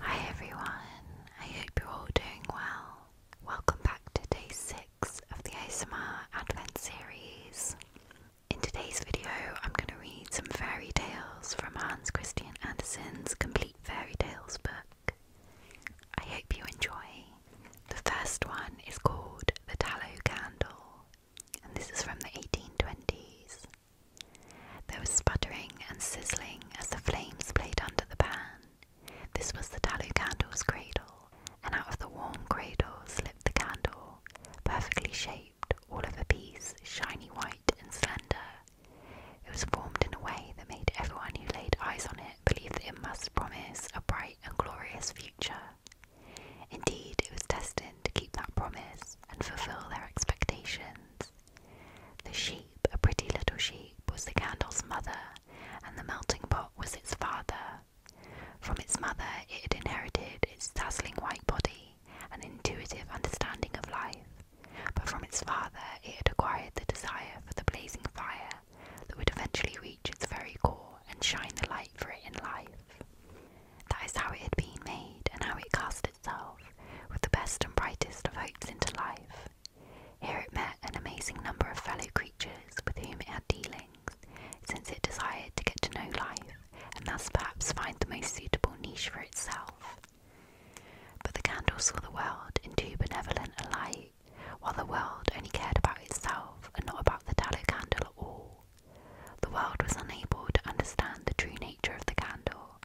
Hi everyone, I hope you're all doing well. Welcome back to day 6 of the ASMR Advent series. In today's video, I'm going to read some fairy tales from Hans Christian Andersen's Complete Fairy Tales book. I hope you enjoy. The first one is called The Tallow Candle and this is from the 1820s. There was sputtering and sizzling as the flames played under the pan. This was the tallow candle's cradle, and out of the warm cradle slipped the candle, perfectly shaped, all of a piece, shiny white and slender. It was formed in a way that made everyone who laid eyes on it believe that it must promise a bright and glorious future. Indeed, it was destined to keep that promise and fulfill their expectations. The sheep, a pretty little sheep, was the candle's mother, and the melting pot was its father. From its mother, it had inherited its dazzling white body and intuitive understanding of life, but from its father, it had acquired the desire for the blazing fire that would eventually reach reach its very core and shine the light for it in life. That is how it had been made and how it cast itself, with the best and brightest of hopes into life. Here it met an amazing number of fellow creatures with whom it had dealings, since it desired to get to know life and thus perhaps find the most suitable niche for itself. But the candle saw the world in too benevolent a light, while the world only cared about itself and not about the tallow candle at all. The world was unable to understand the true nature of the candle,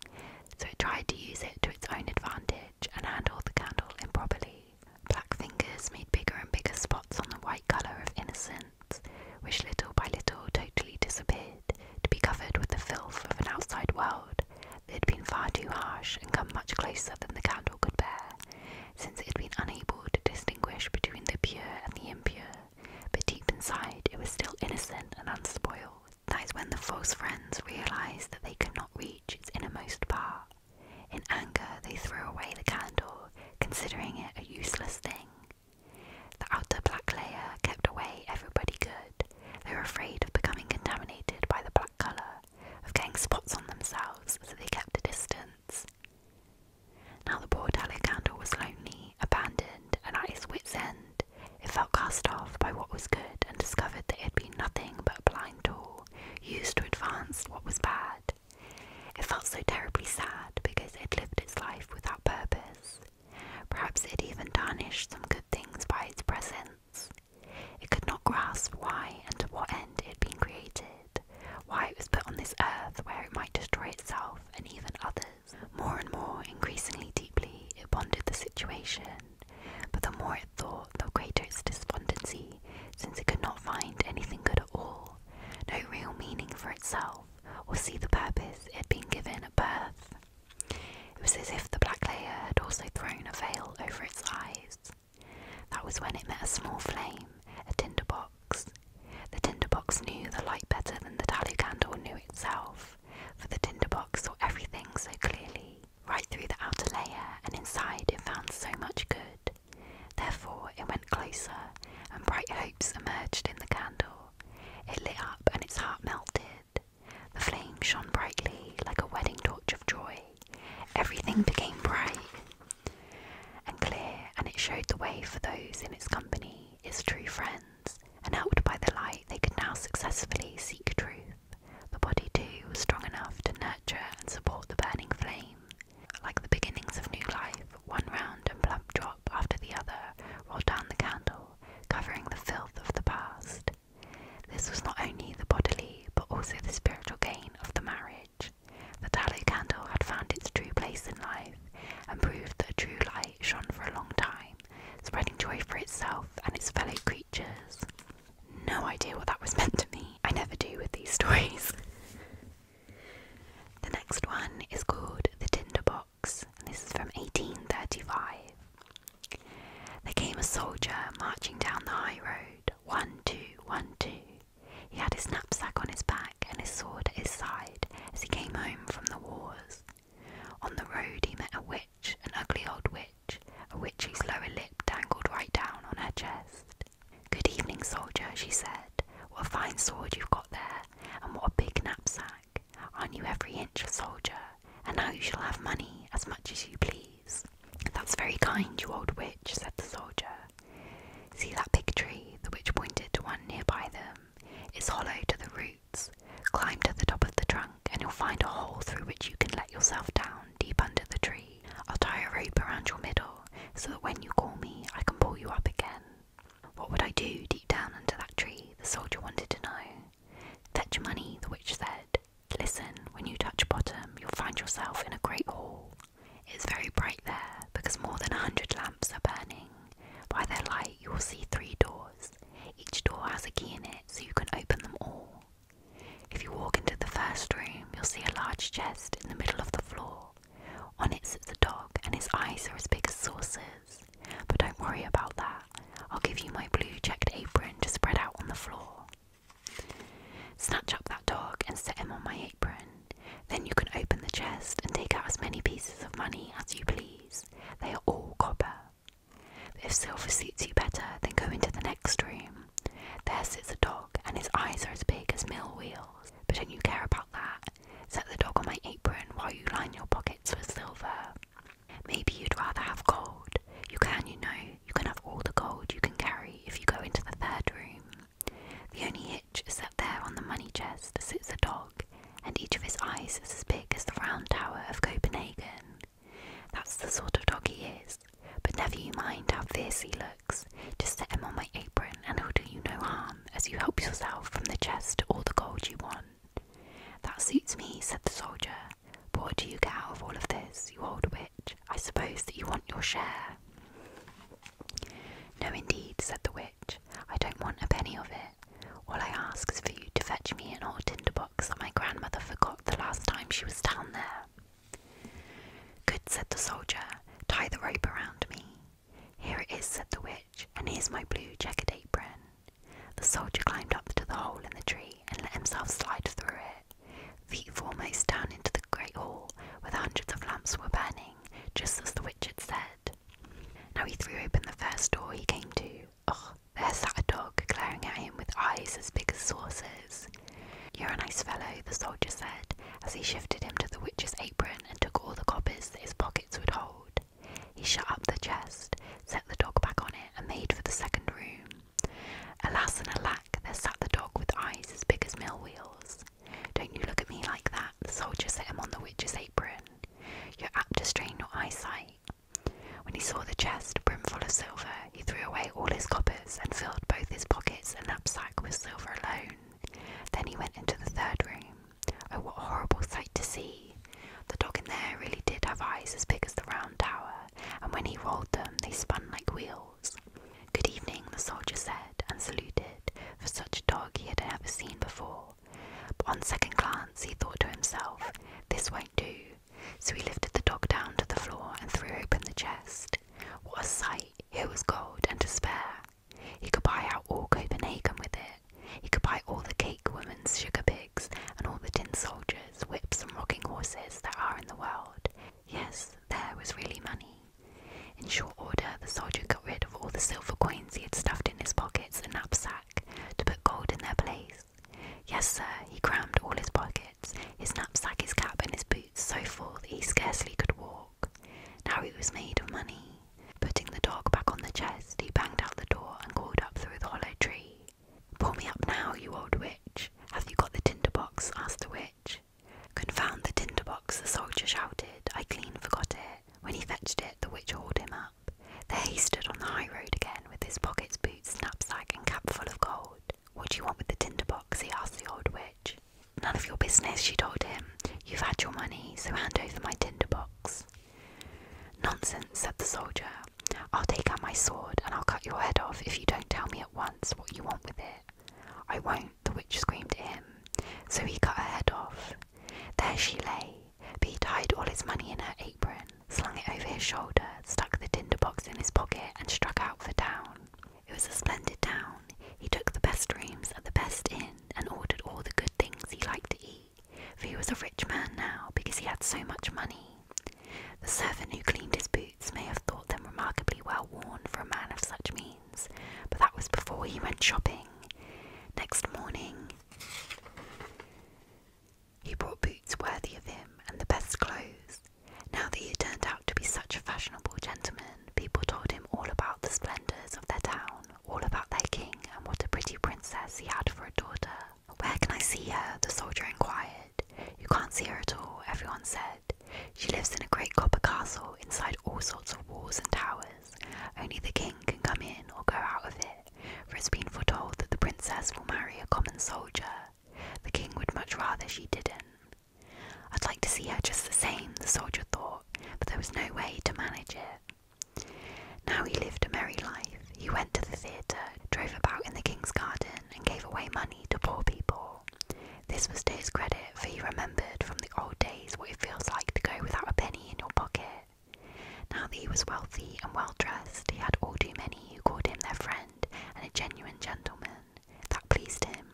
so it tried to use it to its own advantage and handled the candle improperly. Black fingers made bigger and bigger spots on the white colour of innocence, which little by little totally disappeared, to be covered with the filth of an outside world that had been far too harsh and come much closer than the candle could bear, since it had been unable to distinguish between the pure and the impure, but deep inside it was still innocent and unspoiled. That is when the false friends realized that they could not reach its innermost part. In anger, they threw away the candle, considering it a useless thing. The outer black layer kept away everybody good. They were afraid of becoming contaminated by the black colour, of getting spots on themselves, so they kept a distance. Now the poor candle was lonely, abandoned, and at its wit's end. It felt cast off by what was good and discovered that it had been nothing but a blind tool used to advance what was bad. It felt so terribly sad because it had lived its life without purpose. Perhaps it had even tarnished some good things by its presence. It could not grasp why and to what end it had been created why it was put on this earth where it might destroy itself and even others. More and more, increasingly deeply, it pondered the situation, but the more it thought, the greater its despondency, since it could not find anything good at all, no real meaning for itself, or see the purpose it had been given at birth. It was as if the black layer had also thrown a veil over its eyes. That was when it met a small flame, a tinderbox tinderbox. The tinderbox knew the light better than the tallow candle knew itself, for the tinderbox saw everything so clearly, right through the outer layer, and inside it found so much good. Therefore, it went closer, and bright hopes emerged in the candle. It lit up, and its heart melted. The flame shone brightly, like a wedding torch of joy. Everything became bright and clear, and it showed the way for those in its company, its true friends, and helped by the light, they could now successfully seek truth. The body, too, was strong enough to nurture and support the burning flame. Like the beginnings of new life, one round and plump drop after the other rolled down the candle, covering the filth of the past. This was not only the bodily, but also the spiritual gain of the marriage. The tallow candle had found its true place in life and proved that true light shone for a long time, spreading joy for itself and its fellow creatures. No idea what that was meant to me. I never do with these stories. the next one is called The Tinderbox, and this is from 1835. There came a soldier marching down the high road, one, two, one, two. He had his knapsack on his back and his sword at his side as he came home from the wars. On the road he met a witch, an ugly old witch, a witch whose lower lip dangled right down on her chest. Good evening, soldier, she said. What a fine sword you've got there, and what a big knapsack. Aren't you every inch a soldier, and now you shall have money as much as you please. That's very kind, you old witch, said the soldier. See that big tree, the witch pointed to one nearby them. It's hollow to the roots. Climb to the top of the trunk, and you'll find a hole through which you can let yourself down deep under the tree. I'll tie a rope around your middle so that when you call me, I can pull you up again. What would I do deep down under that tree? The soldier wanted to know. Fetch money, the witch said. Listen, when you touch bottom, you'll find yourself in a great hall. It is very bright there because more than a hundred lamps are burning. By their light, you will see three doors. Each door has a key in it, so you can open them all. If you walk into the first room, you'll see a large chest in the middle of the floor. On it sits a dog, and his eyes are as big as saucers. But don't worry about that. I'll give you my blue checked apron to spread out on the floor. Snatch up that dog and set him on my then you can open the chest and take out as many pieces of money as you please. They are all copper. If silver suits you better, then go into the next room. There sits a dog, and his eyes are as big as mill wheels. But don't you care about that? Set the dog on my apron while you line your pockets with silver. Maybe you'd rather have gold. You can, you know, you can have all the gold you can carry if you go into the third room. The only hitch is that there on the money chest sits a dog, and each of his eyes is as big as the round tower of Copenhagen. That's the sort of dog he is, but never you mind how fierce he looks. Just set him on my apron, and he'll do you no harm as you help yourself from the chest all the gold you want. That suits me, said the soldier. But what do you get out of all of this, you old witch? I suppose that you want your share. No, indeed, said the witch. I don't want a penny of it. All I ask is for you to fetch me an old tinder box that my grandmother forgot the last time she was down there. Good, said the soldier. Tie the rope around me. Here it is, said the witch, and here's my blue checkered apron. The soldier climbed up to the hole in the tree and let himself slide through it, feet foremost down into the great hall where the hundreds of lamps were burning just as the witch had said. Now he threw open the first door he came to. Oh, there sat a dog glaring at him with eyes as big as saucers. You're a nice fellow, the soldier said, as he shifted him to the witch's apron and took all the coppers his pockets would hold. He shut up the chest, set the dog back on it, and made for the second room. Alas and alack, there sat the dog with eyes as big as mill wheels. Don't you look at me like that, the soldier set him on the witch's apron. You're apt to strain your eyesight. When he saw the chest brimful of silver, he threw away all his coppers and filled both his pockets and knapsack with silver alone. Then he went into the third room. Oh, what a horrible sight to see! The dog in there really did have eyes as big as the round tower, and when he rolled them, they spun like wheels. Good evening, the soldier said, and saluted, for such a dog he had never seen before. But on second glance, he thought to himself, This won't do. So he lifted the dog down to the floor and threw open the chest. What a sight! It was gold and to spare. He could buy out all Copenhagen with it. He could buy all the cake women's sugar pigs and all the tin soldiers, whips, and rocking horses that are in the world. Yes, there was really money. In short order, the soldier got rid of all the silver coins he had stuffed in his pockets and knapsack to put gold in their place. Yes, sir, he crammed all his pockets, his knapsack, his cap, and his boots so full that he scarcely could walk. Now he was made of money. Putting the dog back on the chest, he banged out the door and called up through the hollow tree. Pull me up now, you old witch. Have you got the tinder box? asked the witch. Confound the tinder box! the soldier shouted. I clean forgot it. When he fetched it, the witch hauled him up. There he stood on the high road again, with his pockets, boots, knapsack, and cap full of gold. What do you want with the tinder box? he asked the old witch. None of your business, she told him. You've had your money, so hand over my tinder box. Nonsense, said the soldier. I'll take out my sword and I'll cut your head off if you don't tell me at once what you want with it. I won't, the witch screamed at him, so he cut her head off. There she lay, but he tied all his money in her apron, slung it over his shoulder, stuck the tinder box in his pocket, and struck out for town. It was a splendid town. He took the best rooms at the best inn and ordered all the good things he liked to eat, for he was a rich man now because he had so much money. The servant who cleaned his boots may have thought them remarkably well worn for a man of such means but that was before he went shopping. Next morning, he brought boots worthy of him and the best clothes. Now that he turned out to be such a fashionable gentleman, people told him all about the splendours of their town, all about their king, and what a pretty princess he had for a daughter. Where can I see her? the soldier inquired. You can't see her at all, everyone said. She lives in a great copper castle inside all sorts of walls and towers. Only the king can come in or go out of it, for it's been foretold that the princess will marry a common soldier. The king would much rather she didn't. I'd like to see her just the same, the soldier thought, but there was no way to manage it. Now he lived a merry life. He went to the theatre, drove about in the king's garden, and gave away money to poor people. This was to his credit, for he remembered from the old days what it feels like to go without a penny in your pocket. Now that he was wealthy and well dressed, he had all too many who called him their friend and a genuine gentleman. That pleased him.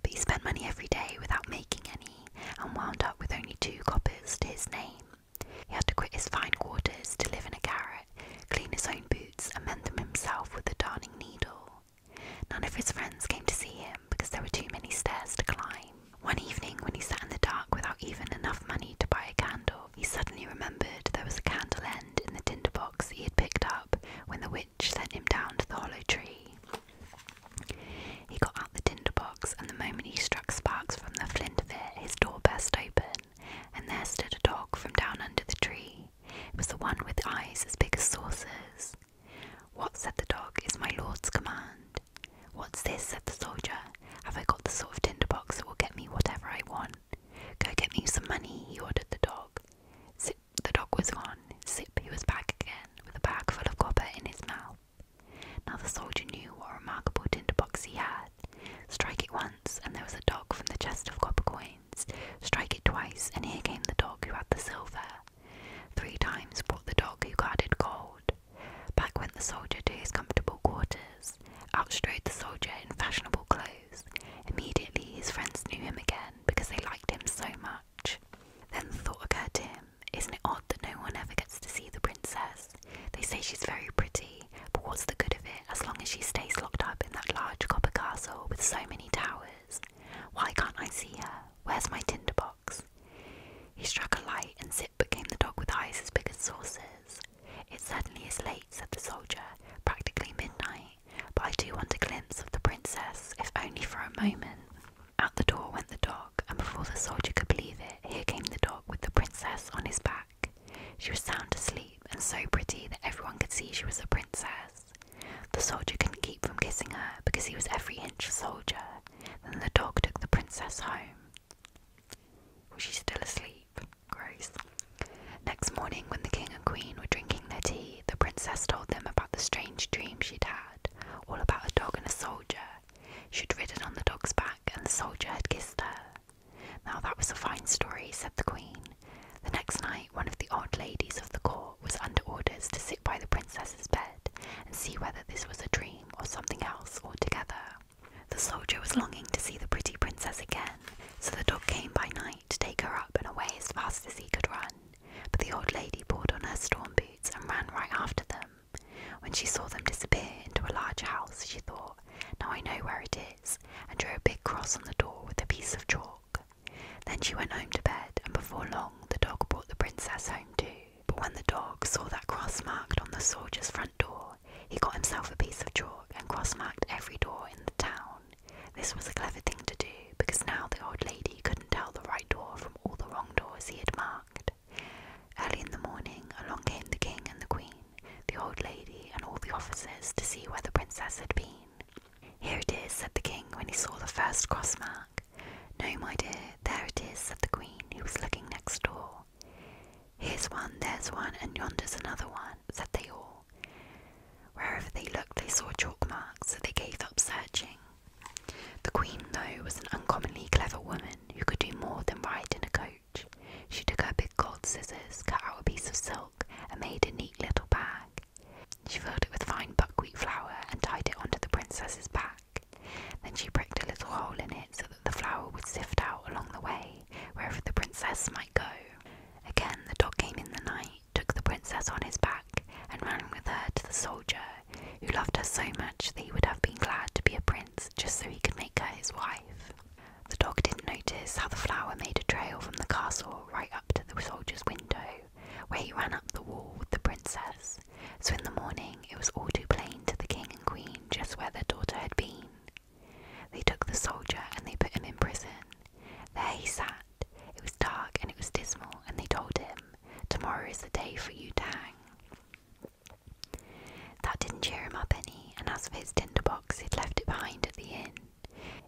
But he spent money every day without making any, and wound up with only two coppers to his name. He had to quit his fine quarters to live in a garret, clean his own boots, and mend them himself with a darning needle. None of his friends came to see him because there were too many stairs to climb. One evening, when he sat in the dark without even enough money to buy a candle, he suddenly remembered there was a candle end in the tinder box he had picked up when the witch sent him down to the hollow tree. He got out the tinder box, and the moment he struck sparks from the flint of it, his door burst open, and there stood a dog from down under the tree. It was the one with eyes as big as saucers. What, said the dog, is my lord's command? What's this, said the soldier, have I got the sort of tinder box that will get me whatever I want? Go get me some money, he ordered the dog. Sip. the dog was gone. Sip. he was back again, with a bag full of copper in his mouth. Now the soldier knew what a remarkable box he had. Strike it once, and there was a dog from the chest of copper coins. Strike it twice, and here came the dog who had the silver. Three times brought the dog who guarded gold. Back went the soldier to his comfortable quarters. Out strode the soldier in fashionable clothes. Immediately his friends knew him again because they liked him so much. Then the thought occurred to him, isn't it odd that no one ever gets to see the princess? They say she's very pretty, but what's the good of it as long as she stays locked up in that large copper castle with so many towers? Why can't I see her? Where's my tinderbox? He struck a light, and Zip became the dog with eyes as big as saucers. It certainly is late, said the soldier, practically midnight, but I do want a glimpse of the princess, if only for a moment. At the door went the dog, and before the soldier could believe it, here came the dog with the princess on his back. She was sound asleep and so pretty that everyone could see she was a princess. The soldier couldn't keep from kissing her because he was every inch a soldier. Then the dog took the princess home. Was still asleep? Gross. Next morning, when the king and queen were drinking their tea, the princess told them about the strange dream she'd had, all about a dog and a soldier. She'd ridden on the dog's back, and the soldier had kissed her. Now that was a fine story, said the queen. The next night, one of the odd ladies of the court was under orders to sit by the princess's bed and see whether this was a dream or something else altogether. The soldier was longing to see the pretty princess again, so the dog came by night to take her up and away as fast as he could run. But the old lady put on her storm boots and ran right after them. When she saw them disappear into a large house, she thought, Now I know where it is, and drew a big cross on the door with a piece of chalk. Then she went home to bed, and before long the dog brought the princess home too. But when the dog saw that cross marked on the soldier's front door, he got himself a piece of chalk and cross marked every door in the town. This was a clever thing to do because now the old lady couldn't tell the right door from all the wrong doors he had marked. Early in the morning, along came the king and the queen, the old lady, and all the officers to see where the princess had been. Here it is, said the king when he saw the first cross mark. No, my dear, there it is, said the queen, who was looking next door. Here's one, there's one, and yonder's another one, said they all. Wherever they looked, they saw chalk marks, so they gave up searching. The queen, though, was an uncommonly clever woman who could do more than ride in a coach. She took her big gold scissors, cut out a piece of silk, and made a neat little bag, she filled it with fine buckwheat flour and tied it onto the princess's back. Then she pricked a little hole in it so that the flour would sift out along the way, wherever the princess might go. Again, the dog came in the night, took the princess on his back, and ran with her to the soldier, who loved her so much that he would have been glad to be a prince just so he could make her his wife. The dog didn't notice how the flour made a trail from the castle right to the soldier's window, where he ran up the wall with the princess, so in the morning it was all too plain to the king and queen just where their daughter had been. They took the soldier and they put him in prison. There he sat. It was dark and it was dismal, and they told him, Tomorrow is the day for you to hang. That didn't cheer him up any, and as for his tinder box, he'd left it behind at the inn.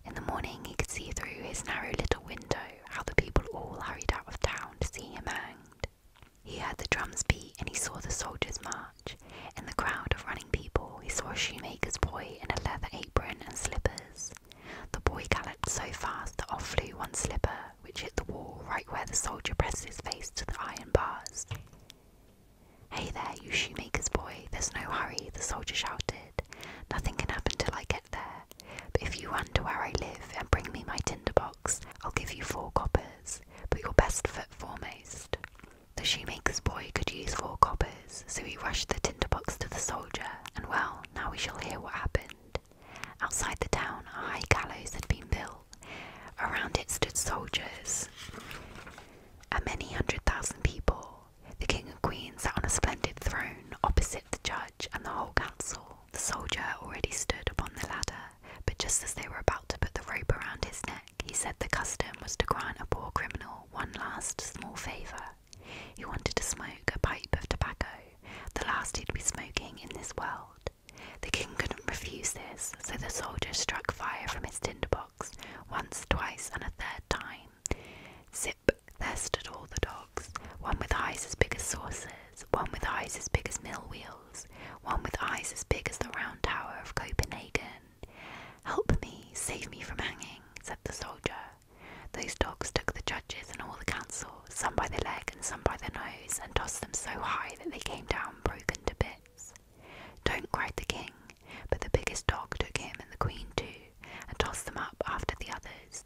In the morning, he could see through his narrow little window how the people all hurried out of town to see him hanged. He heard the drums beat and he saw the soldiers march. In the crowd of running people, he saw a shoemaker's boy in a leather apron and slippers. The boy galloped so fast that off flew one slipper, which hit the wall right where the soldier pressed his face to the iron bars. Hey there, you shoemaker's boy, there's no hurry, the soldier shouted. Nothing can happen till I get there, but if you run to where I live and bring me my tinder box, I'll give you four coppers, put your best foot foremost. The shoemaker's boy could use four coppers, so he rushed the tinder box to the soldier, and well, now we shall hear what happened. Outside the town, a high gallows had been built. Around it stood soldiers, and many hundred thousand people. The king and queen sat on a splendid throne opposite the judge and the whole council. The soldier already stood upon the ladder, but just as they were about to put the rope around his neck, he said the custom was to grant a poor criminal one last small favour. He wanted to smoke a pipe of tobacco, the last he'd be smoking in this world. The king couldn't refuse this, so the soldier struck fire from his tinderbox once, twice, and a third time. Zip there stood all the dogs, one with eyes as big as saucers, one with eyes as big as mill wheels, one with eyes as big as the round tower of Copenhagen. Help me, save me from hanging, said the soldier. Those dogs took the judges and all the council, some by the leg and some by the nose, and tossed them so high that they came down broken to bits. Don't, cried the king, but the biggest dog took him and the queen too, and tossed them up after the others,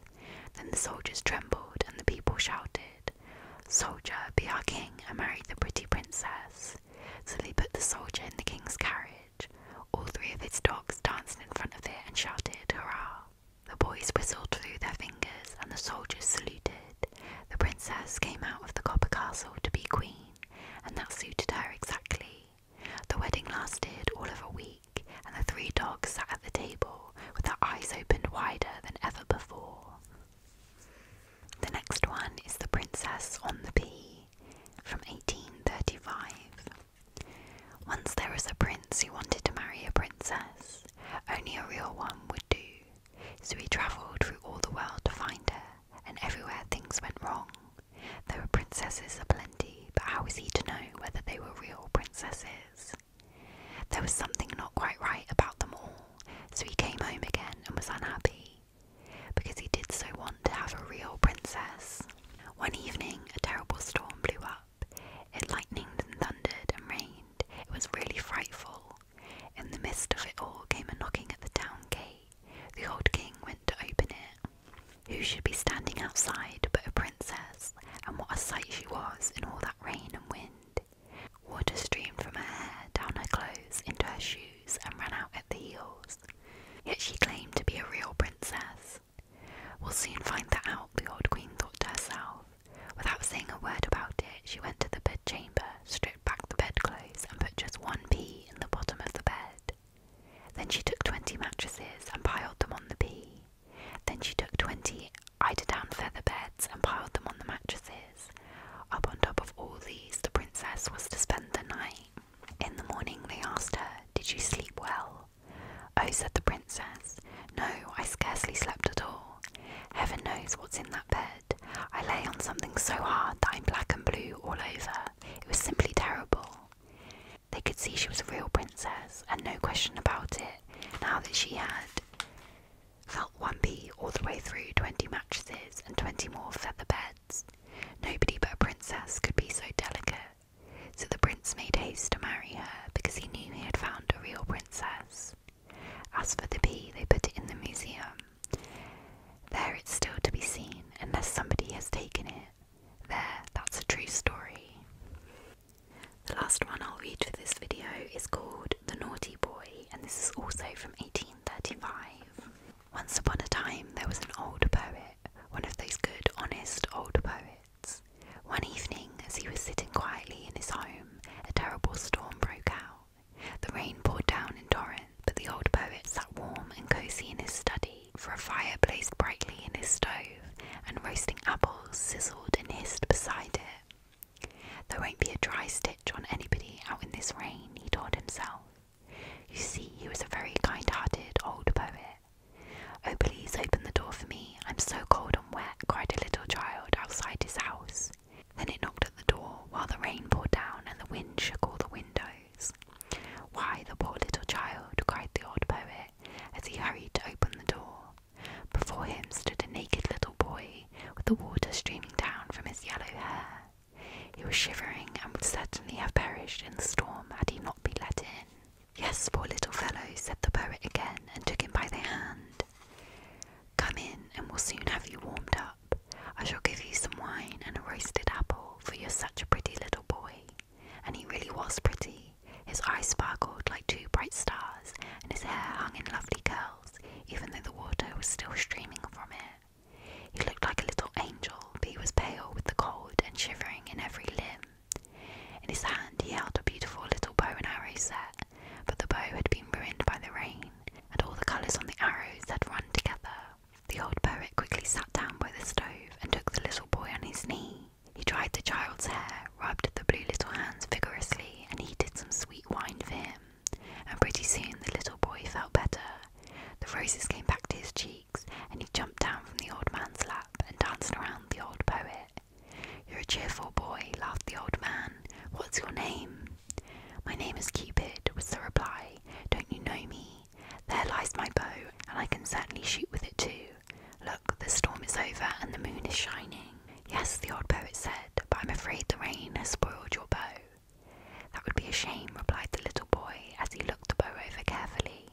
then the soldiers trembled, and the people shouted, Soldier, be our king and marry the pretty princess. So they put the soldier in the king's carriage. All three of his dogs danced in front of it and shouted, Hurrah! The boys whistled through their fingers, and the soldiers saluted. The princess came out of the copper castle to be queen, and that suited her exactly. The wedding lasted all of a week and the three dogs sat at the table with their eyes opened wider than ever before. The next one is The Princess on the Pea from 1835. Once there was a prince who wanted to marry a princess. Only a real one would do. So he travelled through all the world to find her, and everywhere things went wrong. There were princesses aplenty, but how was he to know whether they were real princesses? There was something not quite right about them all, so he came home again and was unhappy, because he did so want to have a real princess. One evening, a terrible storm blew up. It lightened and thundered and rained. It was really frightful. In the midst of it all came a knocking at the town gate. The old king went to open it. Who should be standing outside but a princess? and what a sight she was in all that rain and wind. Water streamed from her hair, down her clothes, into her shoes, and ran out at the heels. Yet she claimed to be a real princess. We'll soon find that out, the old queen thought to herself. Without saying a word about it, she went to the bedchamber, stripped back the bedclothes, and put just one pea in the bottom of the bed. Then she took twenty mattresses and piled them on the pea. Then she took twenty I did down feather beds and piled them on the mattresses. Up on top of all these, the princess was to spend the night. In the morning, they asked her, Did you sleep well? Oh, said the princess, No, I scarcely slept at all. Heaven knows what's in that bed. I lay on something so hard that I'm black and blue all over. It was simply terrible. They could see she was a real princess, and no question about it, now that she had felt one bee all the way through 20 mattresses and 20 more feather beds. Nobody but a princess could be so delicate. So the prince made haste to marry her because he knew he had found a real princess. As for the bee, they put it in the museum. There it's still to be seen, unless somebody has taken it. There, that's a true story. The last one I'll read for this video is called The Naughty Boy, and this is also from 1835. Once upon a time, there was an old poet, one of those good, honest old poets. One evening, as he was sitting quietly in his home, a terrible storm broke out. The rain poured down in torrents, but the old poet sat warm and cosy in his study, for a fire blazed brightly in his stove, and roasting apples sizzled and hissed beside it. There won't be a dry stitch on anybody out in this rain, he told himself. You see, he was a very kind hearted old poet. Oh, please open the door for me. I'm so cold and wet, cried a little child outside his house. Then it knocked at the door while the rain poured down and the wind shook all the windows. Why, the poor little child, cried the old poet as he hurried to open the door. Before him stood a naked little boy with the water streaming down from his yellow hair. He was shivering and would certainly have perished in the storm had he not been let in. Yes, poor little fellow, said the poet again and took him by the hand. Come in and we'll soon have you warmed up. I shall give you some wine and a roasted apple, for you're such a pretty little boy and he really was pretty. His eyes sparkled like two bright stars, and his hair hung in lovely curls, even though the water was still streaming from it. He looked like a little angel, but he was pale with the cold and shivering in every limb. In his hand he held a beautiful little bow and arrow set, but the bow had been ruined by the rain, and all the colours on the arrows had run together. The old poet quickly sat down by the stove and took the little boy on his knee. He dried the child's hair, rubbed the blue little hands vigorously, and heated some sweet wine for him. And pretty soon the little boy felt better. The roses came back to his cheeks, and he jumped down from the old man's lap and danced around the old poet. You're a cheerful boy, laughed the old man. What's your name? My name is Cupid, was the reply. Don't you know me? There lies my bow, and I can certainly shoot with it too. Look, the storm is over and the moon is shining. Yes, the old poet said, but I'm afraid the rain has spoiled your bow. That would be a shame, replied the little boy as he looked the bow over carefully.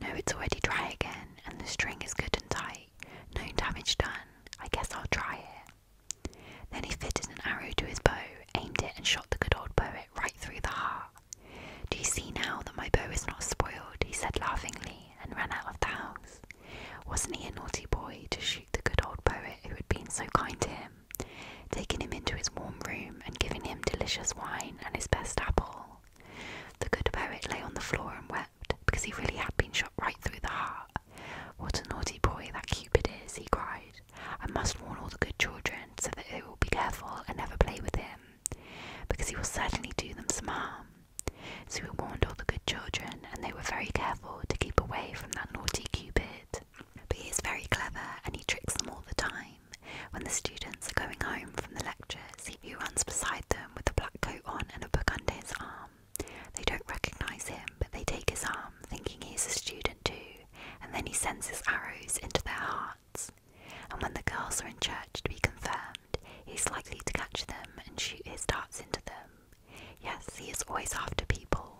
No, it's already dry again, and the string is good and tight. No damage done. I guess I'll try it. Then he fitted an arrow to his bow, aimed it, and shot the good old poet right through the heart. Do you see now that my bow is not spoiled? he said laughingly and ran out of the house. Wasn't he a naughty boy to shoot the good old poet who had been so kind to him, taking him into his warm room and giving him delicious wine and his best apple? The good poet lay on the floor and wept because he really had been shot right through the heart. What a naughty boy that Cupid is, he cried. I must warn all the good children so that they will be careful and never play with him, because he will certainly do them some harm. So he warned all the good children, and they were very careful to keep away from that naughty Cupid. But he is very clever, and he tricks them all the time. When the students are going home from the lectures, he runs beside them with a black coat on and a book under his arm. They don't recognize him, but they take his arm, thinking he is a student too, and then he sends his arrows into their hearts. And when the girls are in church to be confirmed, he's likely to catch them and shoot his darts into them. Yes, he is always after people.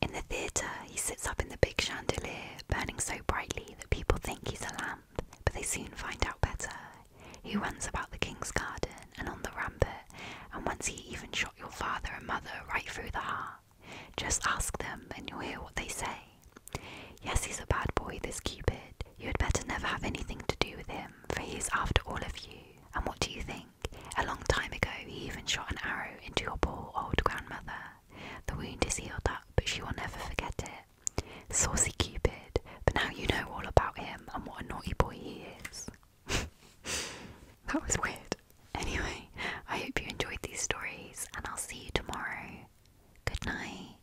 In the theatre, he sits up in the big chandelier, burning so brightly that people think he's a lamp, but they soon find out better. He runs about the king's garden and on the rampart, and once he even shot your father and mother right through the heart. Just ask them and you'll hear what they say. Yes, he's a bad boy, this Cupid. You had better never have anything to do with him, for he's after all of you. And what do you think? A long time ago, he even shot an arrow into your poor old grandmother. The wound is healed up, but she will never forget it. Saucy Cupid, but now you know all about him and what a naughty boy he is. that was weird. Anyway, I hope you enjoyed these stories, and I'll see you tomorrow. Good night.